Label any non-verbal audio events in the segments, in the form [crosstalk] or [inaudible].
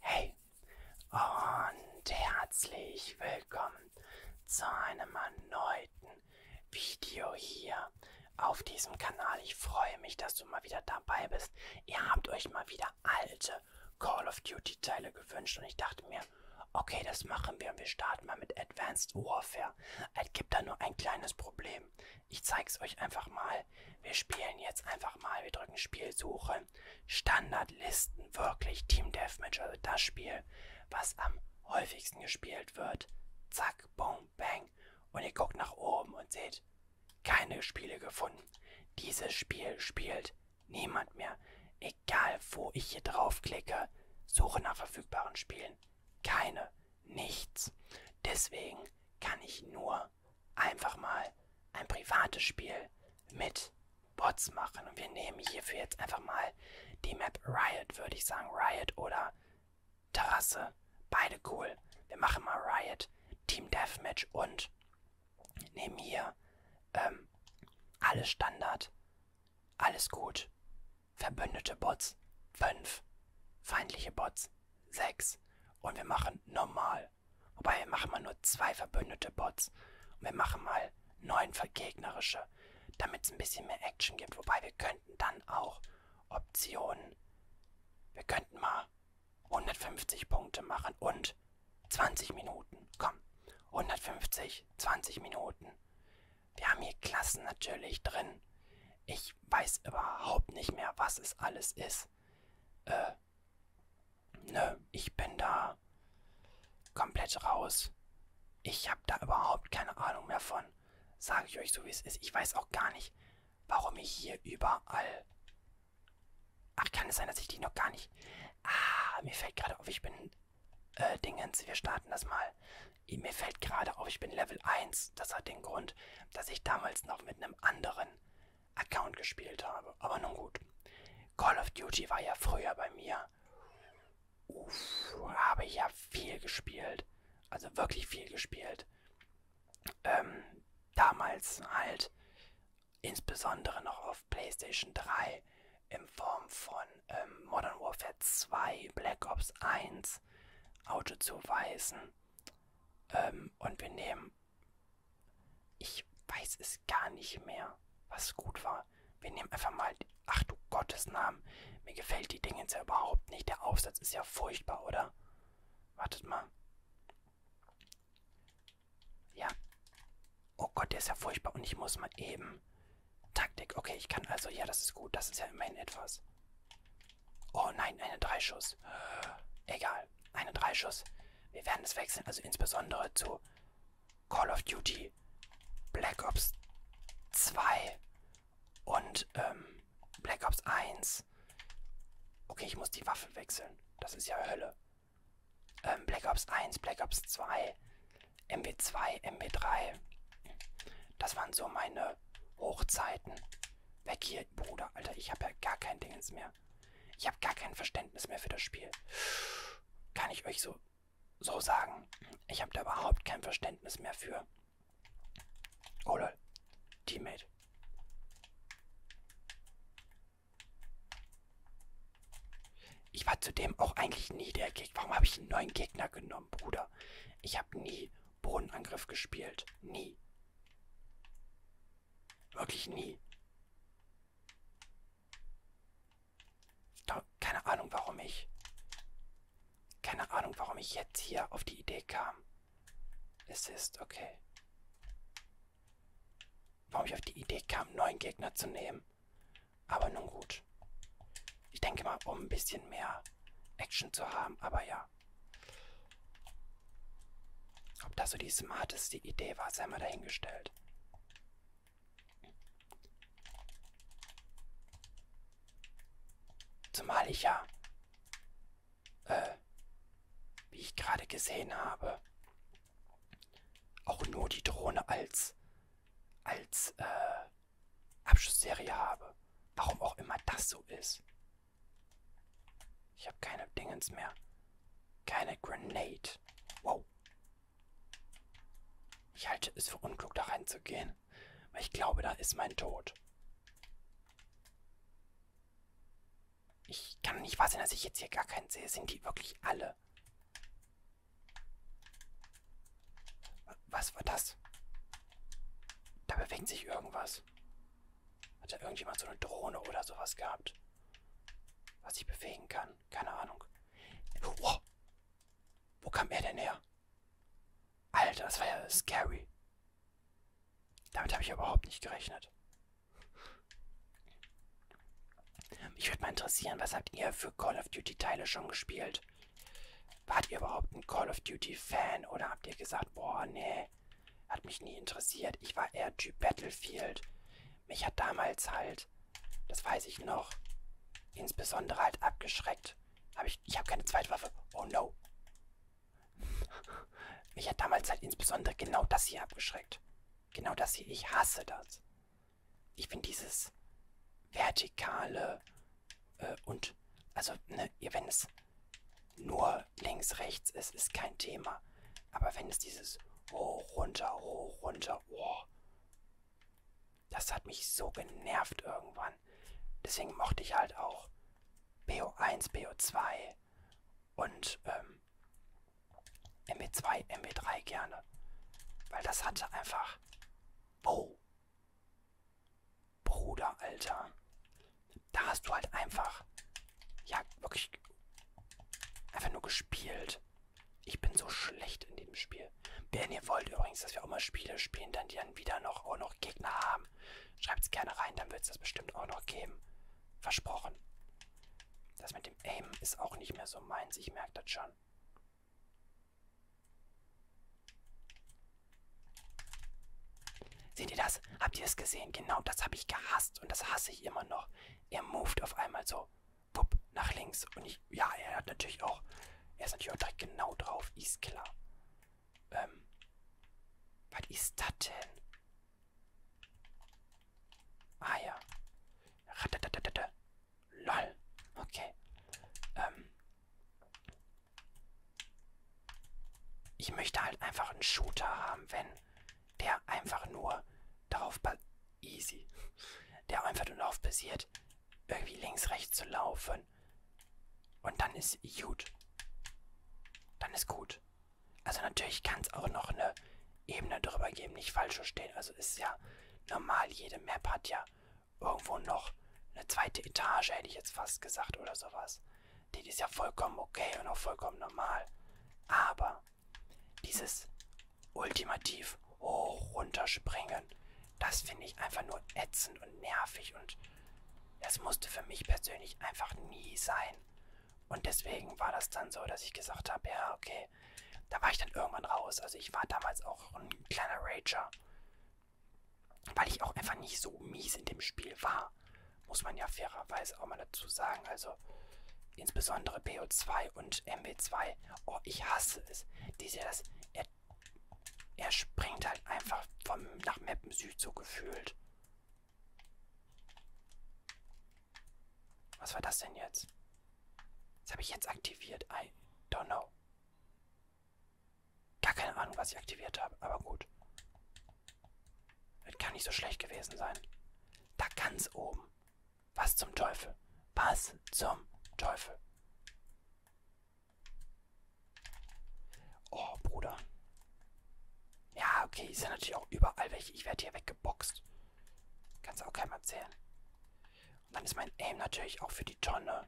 Hey und herzlich willkommen zu einem erneuten Video hier auf diesem Kanal. Ich freue mich, dass du mal wieder dabei bist. Ihr habt euch mal wieder alte Call of Duty Teile gewünscht und ich dachte mir, okay, das machen wir und wir starten mal mit Advanced Warfare. Es gibt da nur ein kleines Problem. Ich zeig's euch einfach mal. Wir spielen jetzt einfach mal. Wir drücken Spielsuche. Standardlisten, wirklich Team Deathmatch, also das Spiel, was am häufigsten gespielt wird. Zack, boom, bang. Und ihr guckt nach oben und seht, keine Spiele gefunden. Dieses Spiel spielt niemand mehr. Egal, wo ich hier draufklicke, suche nach verfügbaren Spielen. Keine nichts. Deswegen kann ich nur einfach mal ein privates Spiel mit Bots machen. Und wir nehmen hierfür jetzt einfach mal die Map Riot, würde ich sagen. Riot oder Terrasse. Beide cool. Wir machen mal Riot, Team Deathmatch und nehmen hier ähm, alles Standard. Alles gut. Verbündete Bots. 5. Feindliche Bots. 6. Und wir machen normal. Wobei wir machen mal nur zwei verbündete Bots. Und wir machen mal neun vergegnerische, damit es ein bisschen mehr Action gibt. Wobei wir könnten dann auch Optionen. Wir könnten mal 150 Punkte machen und 20 Minuten. Komm, 150, 20 Minuten. Wir haben hier Klassen natürlich drin. Ich ich weiß überhaupt nicht mehr, was es alles ist. Äh, nö, ich bin da komplett raus. Ich habe da überhaupt keine Ahnung mehr von. Sage ich euch so, wie es ist. Ich weiß auch gar nicht, warum ich hier überall... Ach, kann es sein, dass ich die noch gar nicht... Ah, mir fällt gerade auf, ich bin... Äh, Dingens, wir starten das mal. Mir fällt gerade auf, ich bin Level 1. Netflix. Das hat den Grund, dass ich damals noch mit einem anderen Account gespielt habe. Aber nun gut. Call of Duty war ja früher bei mir. Uff, habe ich ja viel gespielt. Also wirklich viel gespielt. Ähm, damals halt insbesondere noch auf PlayStation 3 in Form von ähm, Modern Warfare 2, Black Ops 1, Auto zu weisen, ähm, ähm, und wir nehmen. Ich weiß es gar nicht mehr, was gut war. Wir nehmen einfach mal. Ach du Gottes Namen. Mir gefällt die Dingens ja überhaupt nicht. Der Aufsatz ist ja furchtbar, oder? Wartet mal. Ja. Oh Gott, der ist ja furchtbar. Und ich muss mal eben. Taktik. Okay, ich kann also. Ja, das ist gut. Das ist ja immerhin etwas. Oh nein, eine Dreischuss. Egal, eine Dreischuss. Wir werden es wechseln, also insbesondere zu Call of Duty, Black Ops 2 und ähm, Black Ops 1. Okay, ich muss die Waffe wechseln. Das ist ja Hölle. Ähm, Black Ops 1, Black Ops 2, MW2, MW3. Das waren so meine Hochzeiten. Weg hier, Bruder. Alter, ich habe ja gar kein Dingens mehr. Ich habe gar kein Verständnis mehr für das Spiel. Kann ich euch so, so sagen. Ich habe da überhaupt kein Verständnis mehr für. Oh lol. Teammate. Ich war zudem auch eigentlich nie der Gegner. Warum habe ich einen neuen Gegner genommen, Bruder? Ich habe nie Bodenangriff gespielt. Nie. Wirklich nie. Da, keine Ahnung, warum ich. Keine Ahnung, warum ich jetzt hier auf die Idee kam. Es ist okay. Warum ich auf die Idee kam, neuen Gegner zu nehmen. Aber nun gut. Ich denke mal, um ein bisschen mehr Action zu haben, aber ja her. Ob das so die smarteste Idee war, sei mal dahingestellt. Zumal ich ja, äh, wie ich gerade gesehen habe, auch nur die Drohne als, als, äh, Abschussserie habe. Warum auch immer das so ist. Ich habe keine Dingens mehr. Keine Grenade. Wow. Ich halte es für unklug, da reinzugehen. Weil ich glaube, da ist mein Tod. Ich kann nicht wahr sein, dass ich jetzt hier gar keinen sehe. Sind die wirklich alle? Was war das? Da bewegt sich irgendwas. Hat da irgendjemand so eine Drohne oder sowas gehabt? Was ich bewegen kann? Keine Ahnung. Wow. Wo kam er denn her? Alter, das war ja scary. Damit habe ich überhaupt nicht gerechnet. Mich würde mal interessieren, was habt ihr für Call of Duty Teile schon gespielt? Wart ihr überhaupt ein Call of Duty Fan oder habt ihr gesagt, boah, nee, hat mich nie interessiert. Ich war eher Typ Battlefield. Mich hat damals halt, das weiß ich noch, insbesondere halt abgeschreckt. Hab ich ich habe keine Zweitwaffe. Oh no. [laughs] Mich hat damals halt insbesondere genau das hier abgeschreckt. Genau das hier. Ich hasse das. Ich finde dieses vertikale äh, und, also, ne, wenn es nur links, rechts, es ist kein Thema. Aber wenn es dieses hoch, runter, hoch, runter, oh, das hat mich so genervt irgendwann. Deswegen mochte ich halt auch BO1, BO2 und ähm, MB2, MB3 gerne. Weil das hatte einfach. Oh. Bruder, Alter. Da hast du halt einfach, ja, wirklich einfach nur gespielt. Ich bin so schlecht in dem Spiel. Wenn ihr wollt übrigens, dass wir auch mal Spiele spielen, dann die dann wieder noch auch noch Gegner haben, schreibt es gerne rein, dann wird es das bestimmt auch noch geben. Versprochen. Das mit dem Aim ist auch nicht mehr so meins, ich merke das schon. Seht ihr das? Habt ihr es gesehen? Genau das habe ich gehasst und das hasse ich immer noch. Er moved auf einmal so, wupp, nach links. Und ich, ja, er hat natürlich auch, er ist natürlich auch direkt genau drauf, ist klar. Ähm, was ist das denn? Ah ja. Lol. Okay. Ähm. Ich möchte halt einfach einen Shooter haben, wenn der einfach nur darauf easy, der einfach nur darauf basiert, irgendwie links rechts zu laufen. Und dann ist gut. Dann ist gut. Also natürlich kann es auch noch eine Ebene drüber geben, nicht falsch verstehen. Also ist ja normal, jede Map hat ja irgendwo noch eine zweite Etage, hätte ich jetzt fast gesagt oder sowas. Die ist ja vollkommen okay und auch vollkommen normal. Aber dieses ultimativ hoch runterspringen, das finde ich einfach nur ätzend und nervig und das musste für mich persönlich einfach nie sein. Und deswegen war das dann so, dass ich gesagt habe, ja, okay, da war ich dann irgendwann raus. Also ich war damals auch ein kleiner Rager, weil ich auch einfach nicht so mies in dem Spiel war. Wasser, muss man ja fairerweise auch mal dazu sagen. Also insbesondere BO2 und MW2. Oh, ich hasse es. Diese, das, er, er springt halt einfach vom, nach Mappen Süd so gefühlt. Was war das denn jetzt? Das habe ich jetzt aktiviert. I don't know. Gar keine Ahnung, was ich aktiviert habe, aber gut. Das kann nicht so schlecht gewesen sein. Da ganz oben. Was zum Teufel? Was zum Teufel? Oh, Bruder. Ja, okay, ist ja natürlich auch überall welche. Ich werde hier weggeboxt. Kannst auch keinem erzählen. Und dann ist mein Aim natürlich auch für die Tonne.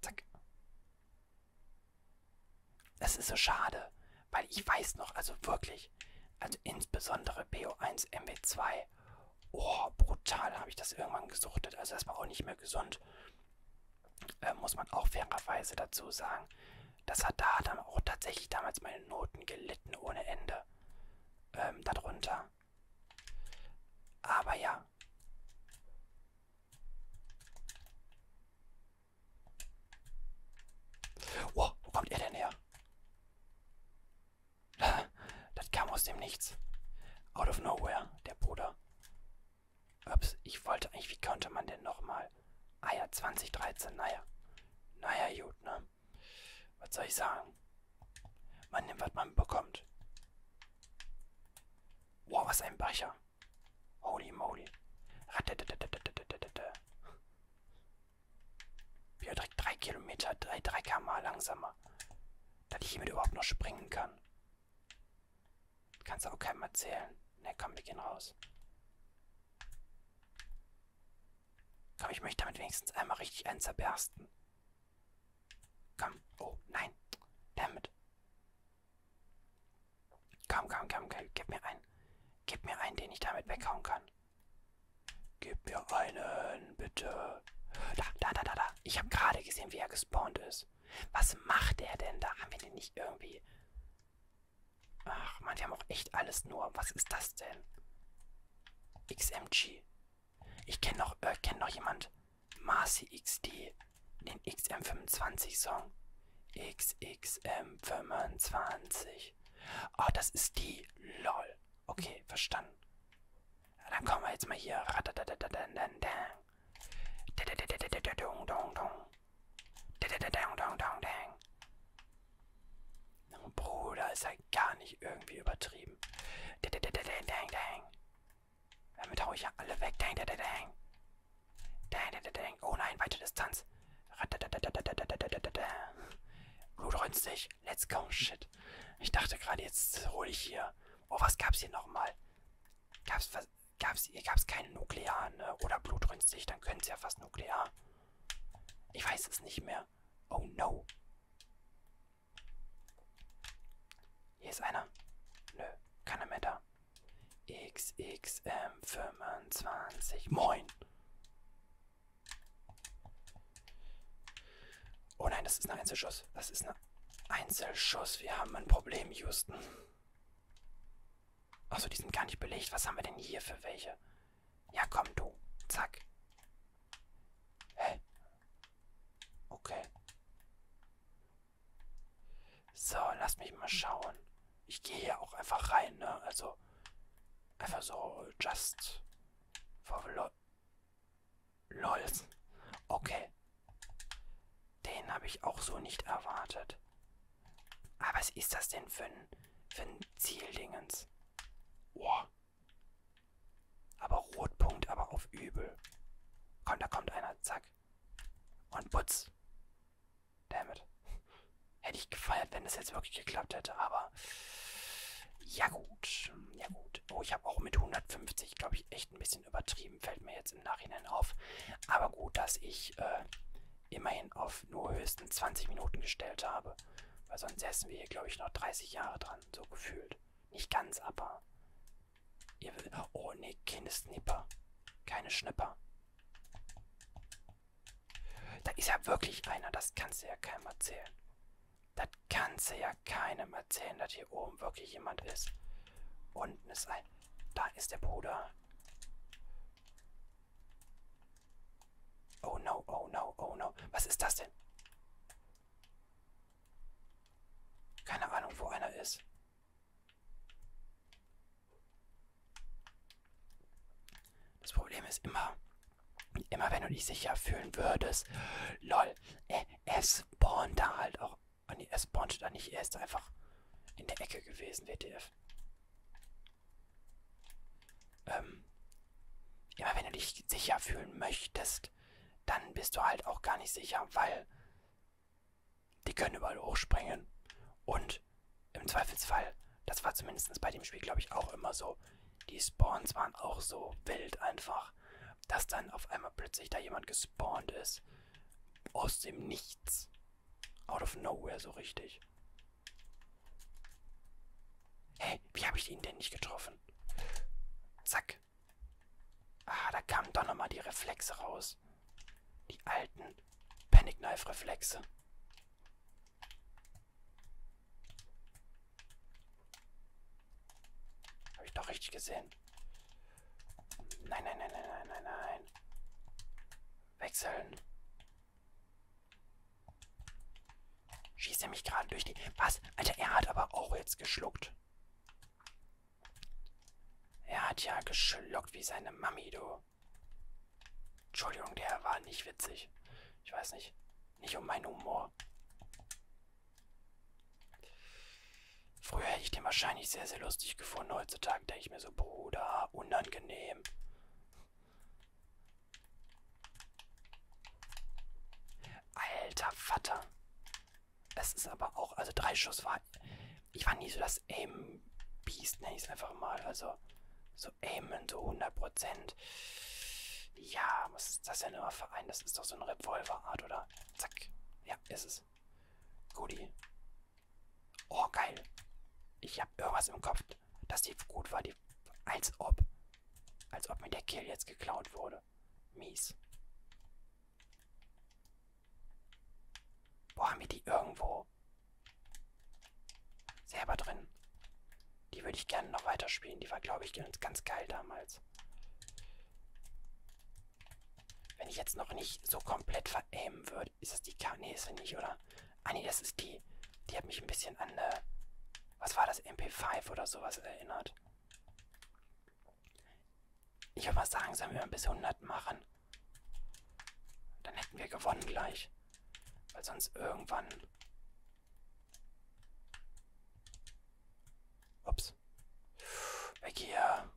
Zack. Es ist so schade, weil ich weiß noch, also wirklich, also insbesondere BO1 MW2, oh, brutal habe ich das irgendwann gesuchtet. Also das war auch nicht mehr gesund. Äh, muss man auch fairerweise dazu sagen. Das hat da dann auch tatsächlich damals meine Noten gelitten ohne Ende. Ähm, darunter. Aber ja. Oh, wo kommt er denn her? Das kam aus dem Nichts. Out of nowhere, der Bruder. Ups, ich wollte eigentlich, wie konnte man denn nochmal? Ah ja, 2013, naja. Naja, gut, ne? Was soll ich sagen? Man nimmt, was man bekommt. Wow, was ein Becher. Holy moly. Wieder direkt 3 Kilometer, 3, 3 km langsamer. Dass ich hiermit überhaupt noch springen kann. Kannst du auch keinem erzählen. Ne, komm, wir gehen raus. Komm, ich möchte damit wenigstens einmal richtig einen zerbersten. Komm. Oh, nein. Damit. Komm, komm, komm, komm, gib mir einen. Gib mir einen, den ich damit weghauen kann. Gib mir einen, bitte. Da, da, da, da, da. Ich habe gerade gesehen, wie er gespawnt ist. Was macht er denn da? Haben wir den nicht irgendwie... Ach man, wir haben auch echt alles nur. Was ist das denn? XMG. Ich kenne noch, äh, kenn noch jemand. Marcy XD den XM25-Song. XXM25. Oh, das ist die. LOL. Okay, verstanden. Ja, dann kommen wir jetzt mal hier. Bruder, ist ja gar nicht irgendwie übertrieben. Damit hau ich ja alle weg. Oh nein, weite Distanz. Blut räumst dich. Let's go, shit. Ich dachte gerade, jetzt hole ich hier. Oh, was gab's hier nochmal? Gab's was? Gab's, hier gab's keinen Nuklear, ne? Oder blutrünstig, dann können's ja fast Nuklear. Ich weiß es nicht mehr. Oh no. Hier ist einer. Nö, keiner mehr da. XXM25. Moin. Oh nein, das ist ein Einzelschuss. Das ist ein Einzelschuss. Wir haben ein Problem, Houston. Achso, die sind gar nicht belegt. Was haben wir denn hier für welche? Ja, komm du. Zack. Hä? Okay. So, lass mich mal schauen. Ich gehe hier auch einfach rein, ne? Also, einfach so, just for lo lols. Okay. Den habe ich auch so nicht erwartet. Aber ah, was ist das denn für ein, für ein Zieldingens? Boah. Aber Rotpunkt, aber auf übel. Komm, da kommt einer, zack. Und Putz. Damit. Hätte ich gefeiert, wenn es jetzt wirklich geklappt hätte, aber. Ja, gut. Ja, gut. Oh, ich habe auch mit 150, glaube ich, echt ein bisschen übertrieben. Fällt mir jetzt im Nachhinein auf. Aber gut, dass ich äh, immerhin auf nur höchstens 20 Minuten gestellt habe. Weil sonst säßen wir hier, glaube ich, noch 30 Jahre dran. So gefühlt. Nicht ganz, aber. Ihr will. Oh, nee, keine Snipper. Keine Schnipper. Da ist ja wirklich einer, das kannst du ja keinem erzählen. Das kannst du ja keinem erzählen, dass hier oben wirklich jemand ist. Unten ist ein... Da ist der Bruder. Oh no, oh no, oh no. Was ist das denn? Keine Ahnung, wo einer ist. Das Problem ist immer, immer wenn du dich sicher fühlen würdest, lol, äh, es spawnt da halt auch. Oh nee, es spawnt da nicht, er ist einfach in der Ecke gewesen, WTF. Ähm, immer wenn du dich sicher fühlen möchtest, dann bist du halt auch gar nicht sicher, weil die können überall hochspringen. Und im Zweifelsfall, das war zumindest bei dem Spiel, glaube ich, auch immer so. Die Spawns waren auch so wild einfach, dass dann auf einmal plötzlich da jemand gespawnt ist. Aus dem Nichts. Out of nowhere so richtig. Hey, wie habe ich ihn denn nicht getroffen? Zack. Ah, da kamen doch nochmal die Reflexe raus. Die alten Panic Knife Reflexe. Habe ich doch richtig gesehen. Nein, nein, nein, nein, nein, nein, nein. Wechseln. Schießt er mich gerade durch die... Was? Alter, er hat aber auch jetzt geschluckt. Er hat ja geschluckt wie seine Mami, du. Entschuldigung, der war nicht witzig. Ich weiß nicht. Nicht um meinen Humor. Früher hätte ich den wahrscheinlich sehr, sehr lustig gefunden. Heutzutage denke ich mir so, Bruder, unangenehm. Alter Vater. Es ist aber auch, also drei Schuss war, ich war nie so das das Aim Beast, nenne ich es einfach mal. Also so aimen, so 100%. Ja, was ist das denn immer für ein? Das ist doch so eine Revolverart, oder? Zack. Ja, ist es. Goodie. Oh, geil. Ich habe irgendwas im Kopf, dass die gut war. Die, als ob. Als ob mir der Kill jetzt geklaut wurde. Mies. Wo haben wir die irgendwo? Selber drin. Die würde ich gerne noch weiterspielen. Die war, glaube ich, ganz, ganz geil damals. Wenn ich jetzt noch nicht so komplett verämen würde. Ist das die K? Nee, ist sie nicht, oder? Ah, nee, das ist die. Die hat mich ein bisschen an, äh, was war das, MP5 oder sowas erinnert. Ich würde mal sagen, sollen wir mal bis 100 machen. Dann hätten wir gewonnen gleich. Weil sonst irgendwann... Ups. Weg hier.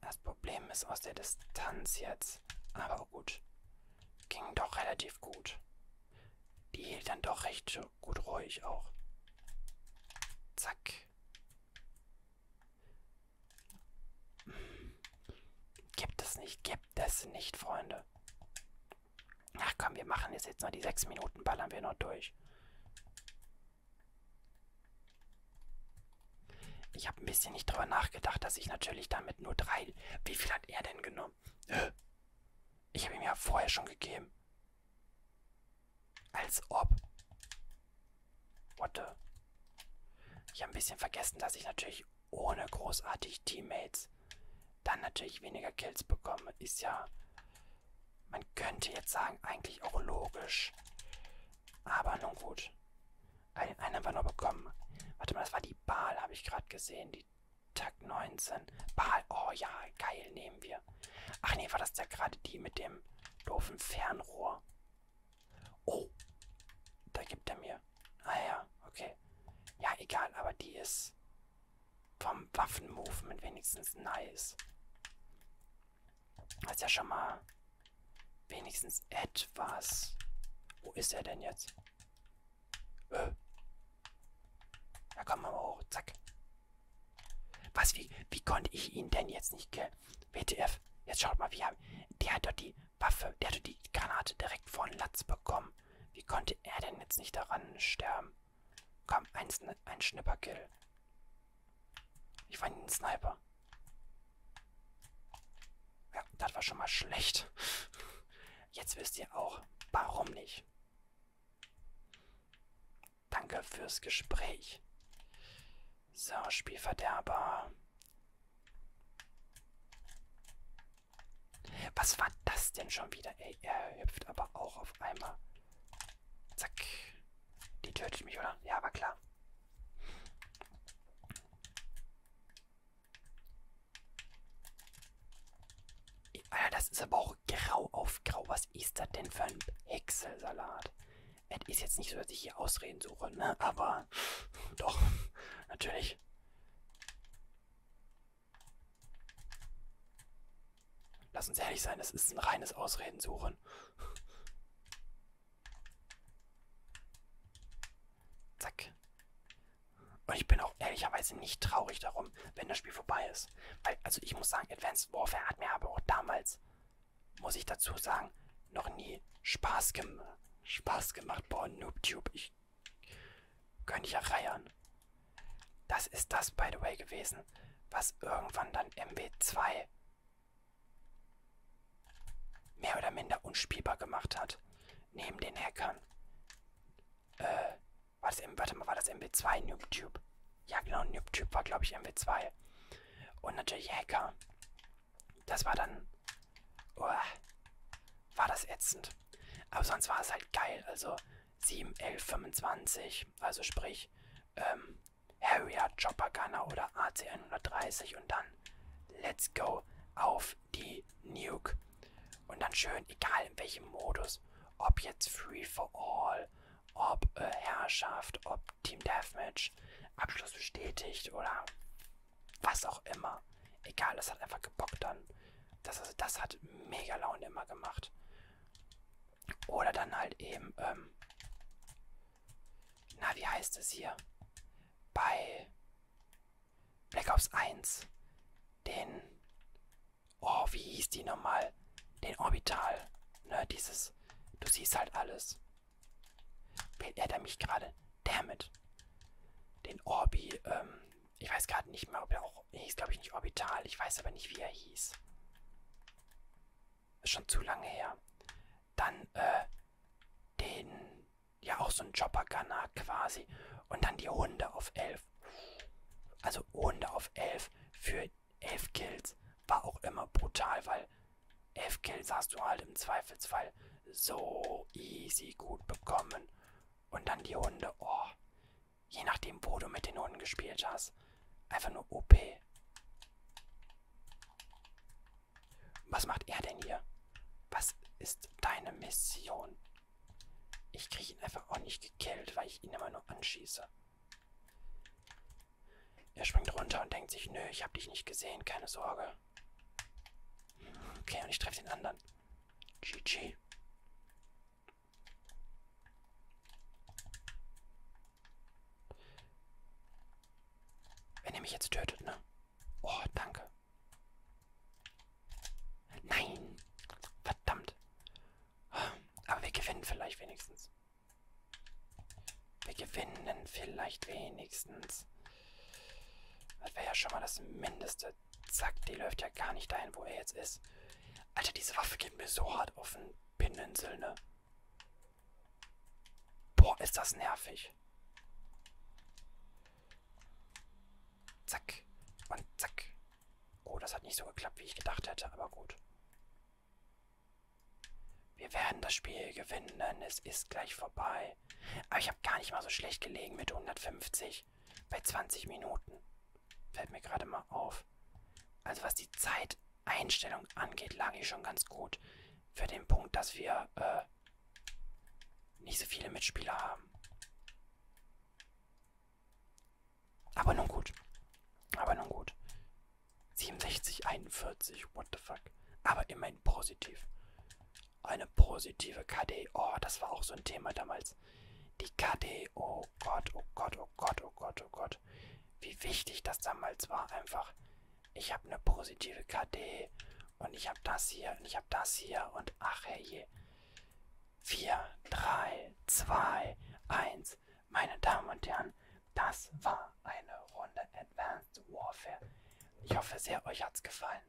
Das Problem ist aus der Distanz jetzt. Aber gut. Ging doch relativ gut. Die hielt dann doch recht gut ruhig auch. Zack. Gibt es nicht, gibt es nicht, Freunde. Ach komm, wir machen jetzt, jetzt noch die sechs Minuten, ballern wir noch durch. Ich habe ein bisschen nicht drüber nachgedacht, dass ich natürlich damit nur drei... Wie viel hat er denn genommen? Ich habe ihm ja vorher schon gegeben. Als ob. What the? Ich habe ein bisschen vergessen, dass ich natürlich ohne großartig Teammates dann natürlich weniger Kills bekomme. Ist ja, man könnte jetzt sagen, eigentlich auch logisch. Aber nun gut. Einen, einen haben wir noch bekommen. Warte mal, das war die Baal, habe ich gerade gesehen. Die Tag 19. Baal, oh ja, geil, nehmen wir. Ach nee, war das ja gerade die mit dem doofen Fernrohr. Oh, da gibt er mir. Ah ja, okay. Ja, egal, aber die ist vom Waffenmovement wenigstens nice. Das ist ja schon mal wenigstens etwas. Wo ist er denn jetzt? Äh. Da kommen wir hoch, zack. Was, wie, wie konnte ich ihn denn jetzt nicht ge WTF, jetzt schaut mal, wie hab, der hat doch die Waffe, der hat doch die Granate direkt von Latz bekommen. Wie konnte er denn jetzt nicht daran sterben? Komm, ein, ein Schnipperkill. Ich fand einen Sniper. Ja, das war schon mal schlecht. Jetzt wisst ihr auch, warum nicht. Danke fürs Gespräch. So, Spielverderber. Was war das denn schon wieder? Ey, er hüpft aber auch auf einmal. Zack. Die tötet mich, oder? Ja, aber klar. Alter, das ist aber auch grau auf grau. Was ist das denn für ein Häckselsalat? Es ist jetzt nicht so, dass ich hier Ausreden suche, ne? aber doch, natürlich. Lass uns ehrlich sein, das ist ein reines Ausreden suchen. Zack. Und ich bin auch ehrlicherweise nicht traurig darum, wenn das Spiel vorbei ist. Weil, also ich muss sagen, Advanced Warfare hat mir aber auch damals muss ich dazu sagen, noch nie Spaß, gem Spaß gemacht. Boah, Noobtube, ich könnte ja reiern. Das ist das, by the way, gewesen, was irgendwann dann MW2 mehr oder minder unspielbar gemacht hat. Neben den Hackern. Äh, war das, warte mal, war das MW2 Noobtube? Ja, genau, Noobtube war, glaube ich, MW2. Und natürlich Hacker. Das war dann... Uah, war das ätzend. Aber sonst war es halt geil. Also 7, 11, 25. Also sprich ähm, Harrier, Chopper Gunner oder AC-130. Und dann let's go auf die Nuke. Und dann schön, egal in welchem Modus. Ob jetzt Free for All, ob äh, Herrschaft, ob Team Deathmatch, falsch, Abschluss bestätigt oder was auch immer. Egal, das hat einfach gebockt dann. Das, also, das hat mega Laune immer gemacht. Oder dann halt eben, ähm, na, wie heißt es hier? Bei Black Ops 1 den, oh, wie hieß die nochmal? Den Orbital, ne, dieses, du siehst halt alles. Belehrt er mich gerade? Dammit. Den Orbi, ähm, ich weiß gerade nicht mehr, ob er auch, er hieß glaube ich nicht Orbital, ich weiß aber nicht, wie er hieß. Ist schon zu lange her. Dann, äh, den, ja auch so ein Chopper-Gunner quasi. Und dann die Hunde auf 11. Also Hunde auf 11 für 11 Kills war auch immer brutal, weil 11 Kills hast du halt im Zweifelsfall so easy gut bekommen. Und dann die Hunde, oh. Je nachdem, wo du mit den Hunden gespielt hast. Einfach nur OP. Was macht er denn hier? Was ist deine Mission? Ich kriege ihn einfach auch nicht gekillt, weil ich ihn immer nur anschieße. Er springt runter und denkt sich, nö, ich habe dich nicht gesehen, keine Sorge. Okay, und ich treffe den anderen. GG. Wenn er mich jetzt tötet, ne? Oh, danke. Nein! Verdammt! Aber wir gewinnen vielleicht wenigstens. Wir gewinnen vielleicht wenigstens. Das wäre ja schon mal das Mindeste. Zack, die läuft ja gar nicht dahin, wo er jetzt ist. Alter, diese Waffe geht mir so hart auf den Pinsel, ne? Boah, ist das nervig. Zack. Und zack. Oh, das hat nicht so geklappt, wie ich gedacht hätte, aber gut. Wir werden das Spiel gewinnen. Es ist gleich vorbei. Aber ich habe gar nicht mal so schlecht gelegen mit 150 bei 20 Minuten. Fällt mir gerade mal auf. Also was die Zeiteinstellung angeht, lag ich schon ganz gut. Für den Punkt, dass wir äh, nicht so viele Mitspieler haben. Aber nun gut. Aber nun gut. 67, 41, what the fuck. Aber immerhin positiv. Eine positive KD. Oh, das war auch so ein Thema damals. Die KD. Oh Gott, oh Gott, oh Gott, oh Gott, oh Gott. Wie wichtig das damals war. Einfach, ich habe eine positive KD. Und ich habe das hier. Und ich habe das hier. Und ach, herrje. 4, 3, 2, 1. Meine Damen und Herren, das war eine Runde Advanced Warfare. Ich hoffe sehr, euch hat's gefallen.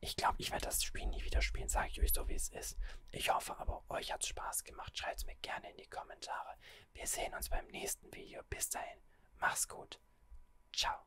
Ich glaube, ich werde das Spiel nie wieder spielen, sage ich euch so, wie es ist. Ich hoffe aber, euch hat's Spaß gemacht. Schreibt's mir gerne in die Kommentare. Wir sehen uns beim nächsten Video. Bis dahin, mach's gut. Ciao.